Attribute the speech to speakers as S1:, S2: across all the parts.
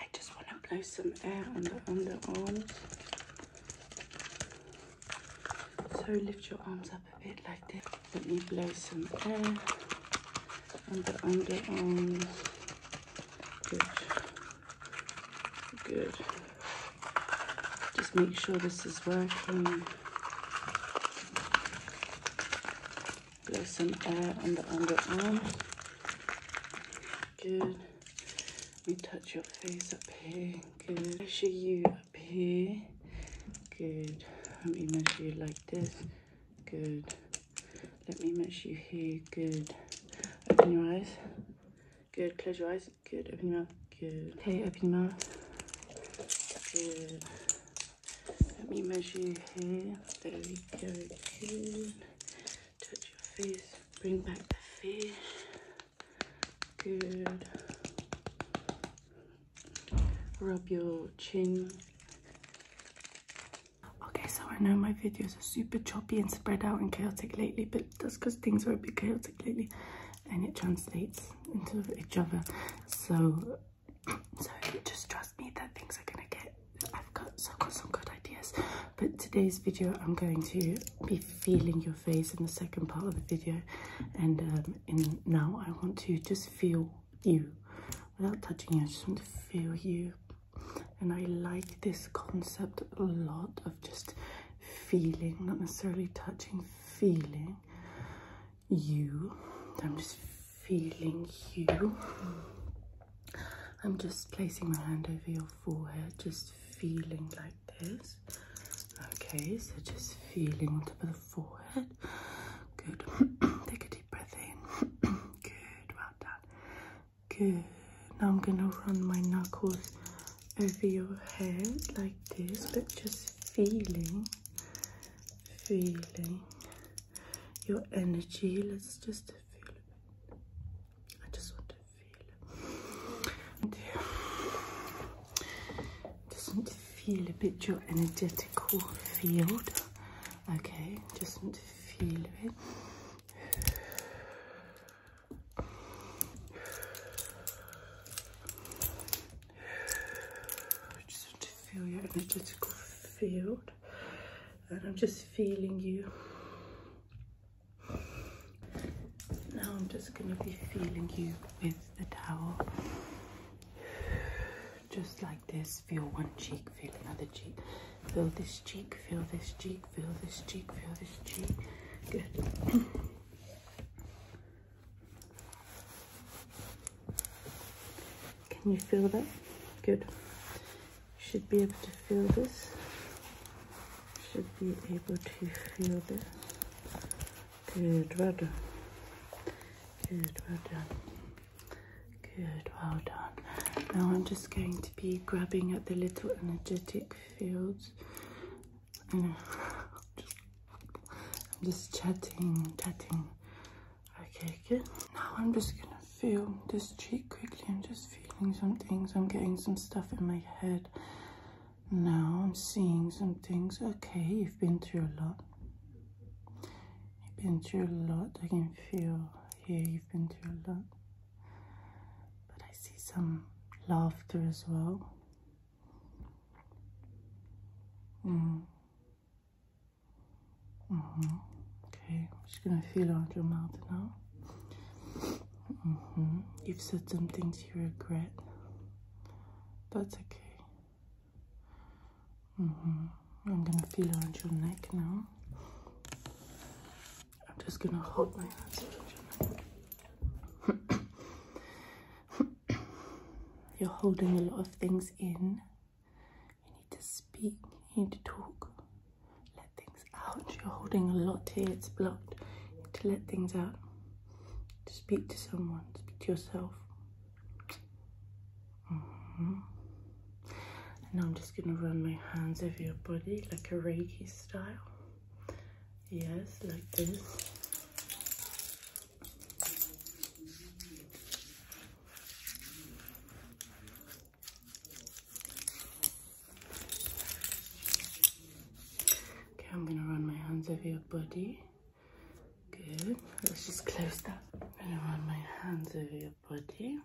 S1: I just want to blow some air on the underarms. So lift your arms up a bit like this. Let me blow some air on the underarms. Good. Good. Just make sure this is working. Blow some air on the underarm. Good. Let me touch your face up here. Good. Measure you up here. Good. Let me measure you like this. Good. Let me measure you here. Good. Open your eyes. Good. Close your eyes. Good. Open your mouth. Good. Okay, open your mouth. Good. Let me measure you here. There we go. Good touch your face, bring back the fish. Good. Rub your chin. Okay, so I know my videos are super choppy and spread out and chaotic lately, but that's because things are a bit chaotic lately and it translates into each other. So, so just trust me that things are gonna get I've got, so I've got some good ideas. But today's video, I'm going to be feeling your face in the second part of the video. And um, in now, I want to just feel you without touching you. I just want to feel you. And I like this concept a lot of just feeling, not necessarily touching, feeling you. I'm just feeling you. I'm just placing my hand over your forehead, just feeling like this. Okay, so just feeling on the forehead. Good. Take a deep breath in. Good, well done. Good. Now I'm gonna run my knuckles over your head like this, but just feeling, feeling your energy. Let's just I just want to feel it. Just want to feel a bit your energetical field. Okay, just want to feel it. Just want to feel your energetical field and I'm just feeling you now I'm just gonna be feeling you with the towel just like this feel one cheek feel another cheek feel this cheek feel this cheek feel this cheek feel this cheek good Can you feel that? Good should be able to feel this should be able to feel this good well done good well done good well done now i'm just going to be grabbing at the little energetic fields and I'm just chatting, chatting, Okay, good. Now I'm just gonna feel this cheek quickly. I'm just feeling some things. I'm getting some stuff in my head. Now I'm seeing some things. Okay, you've been through a lot. You've been through a lot. I can feel here you've been through a lot. But I see some laughter as well. Mm. Mm-hmm. Okay, I'm just gonna feel around your mouth now. Mm-hmm. You've said some things you regret. That's okay. Mm-hmm. I'm gonna feel around your neck now. I'm just gonna hold my hands around your neck. You're holding a lot of things in. You need to speak, you need to talk, let things out. You're holding a lot here, it's blocked. to let things out, to speak to someone, speak to yourself. Mm-hmm. And I'm just gonna run my hands over your body like a Reiki style. Yes, like this. Okay, I'm gonna run my hands over your body. Good. Let's just close that. I'm gonna run my hands over your body.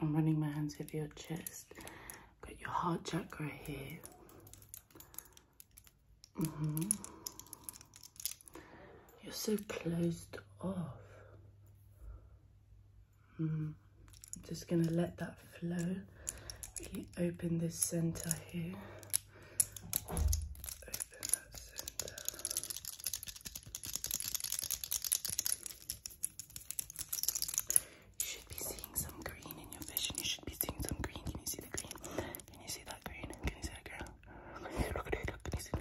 S1: I'm running my hands over your chest. Got your heart chakra here. hmm You're so closed off. I'm mm. just going to let that flow. open this centre here. should be seeing some green in your vision. You should be seeing some green. Can you see the green? Can you see that green? Can you see that green? Can you see the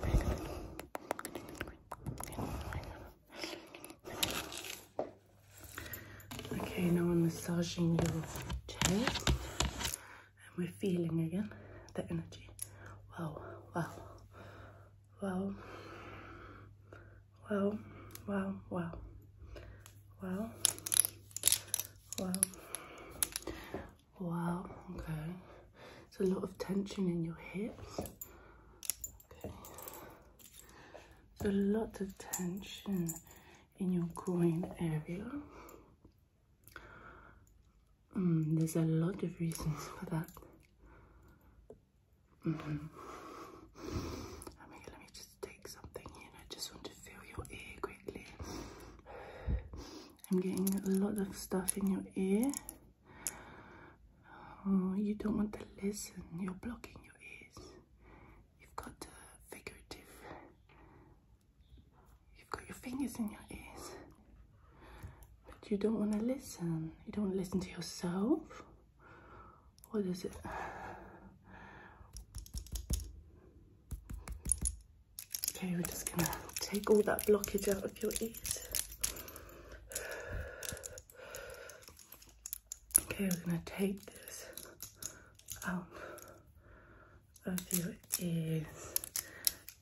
S1: Okay, now I'm massaging your toe and we're feeling again the energy. Wow, wow, wow, wow, wow, wow, wow, wow, wow, okay. There's a lot of tension in your hips. Okay. There's a lot of tension in your groin area. Mm, there's a lot of reasons for that. I mm-hmm. mean, let me just take something here. I just want to feel your ear quickly. I'm getting a lot of stuff in your ear. Oh, you don't want to listen. You're blocking your ears. You've got uh, figurative. You've got your fingers in your ears. But you don't want to listen. You don't listen to yourself. What is it? Okay, we're just gonna take all that blockage out of your ears. Okay, we're gonna take this out of your ears.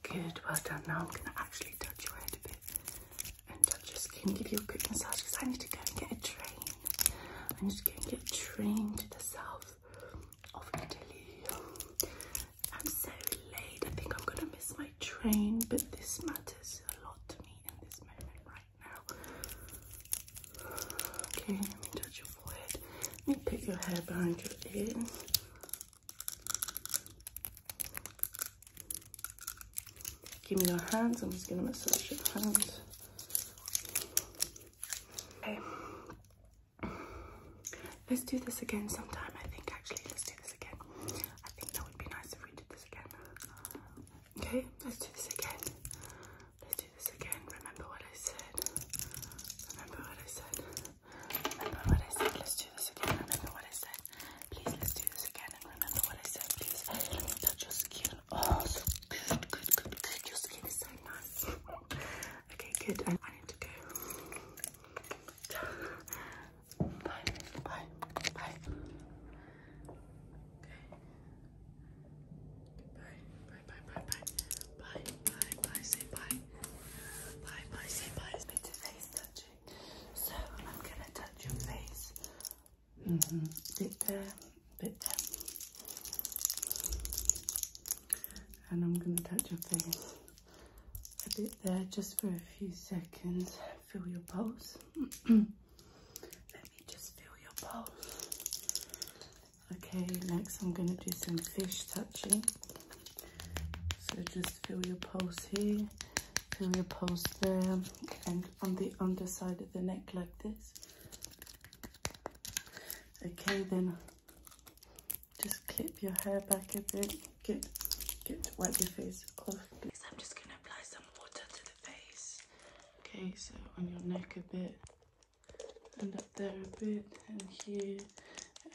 S1: Good, well done. Now I'm gonna actually touch your head a bit and touch your skin, give you a quick massage because I need to go and get a train. I am just gonna get a train to the south of Italy. I'm so late. I think I'm gonna miss my train, but this matters matters a lot to me in this moment right now. Okay, let me touch your forehead. Let me put your hair behind your ear. Give me your hands. I'm just gonna massage your hands. Okay. Let's do this again sometime. I think actually, let's do this again. I think that would be nice Okay, let's do this again. Let's do this again. Remember what I said. Remember what I said. Remember what I said. Let's do this again. Remember what I said. Please, let's do this again. And remember what I said. Please, let me touch your skin. Oh, so good, good, good, good. Your skin is so nice. okay, good. I, I need to go. Bye. Bye. Bye. Okay. Bye. Bye. Bye. Bye. Bye. Bye. Bye. Bye. Say bye. Bye. Bye. Say bye. It's bit of face touching. So I'm gonna touch your face. -hmm. Bit there. Bit there. And I'm gonna touch your face a bit there just for a few seconds feel your pulse. Let me just feel your pulse. Okay, next I'm going to do some fish touching. So just feel your pulse here, feel your pulse there, and on the underside of the neck like this. Okay, then just clip your hair back a bit. Get get Wipe your face off. Please. I'm just gonna apply some water to the face. Okay, so on your neck a bit, and up there a bit, and here,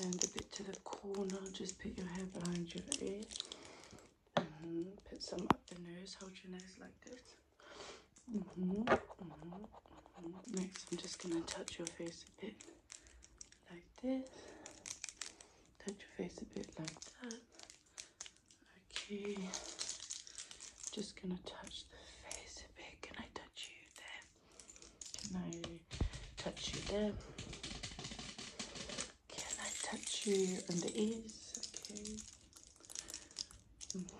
S1: and a bit to the corner. Just put your hair behind your ear, and mm-hmm. put some up the nose. Hold your nose like this. Mm-hmm. Mm-hmm. Next, I'm just gonna touch your face a bit, like this touch your face a bit like that. Okay, just gonna touch the face a bit. Can I touch you there? Can I touch you there? Can I touch you on the ears? Okay. Mm.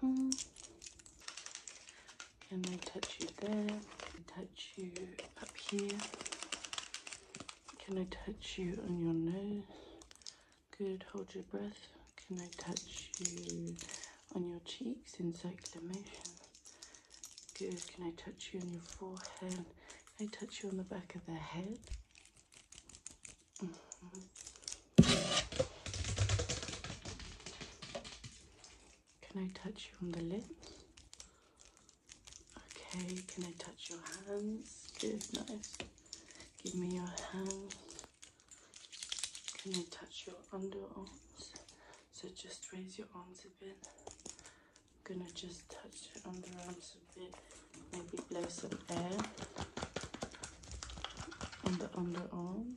S1: Mm-hmm. Can I touch you there? Can I touch you up here? Can I touch you on your nose? Good, hold your breath. Can I touch you on your cheeks in circulation? Good, can I touch you on your forehead? Can I touch you on the back of the head? Mm-hmm. Can I touch you on the lips? Okay, can I touch your hands? Good, nice. Give me your hands. Can I touch your underarms? So just raise your arms a bit. I'm gonna just touch your underarms a bit. Maybe blow some air on the underarms.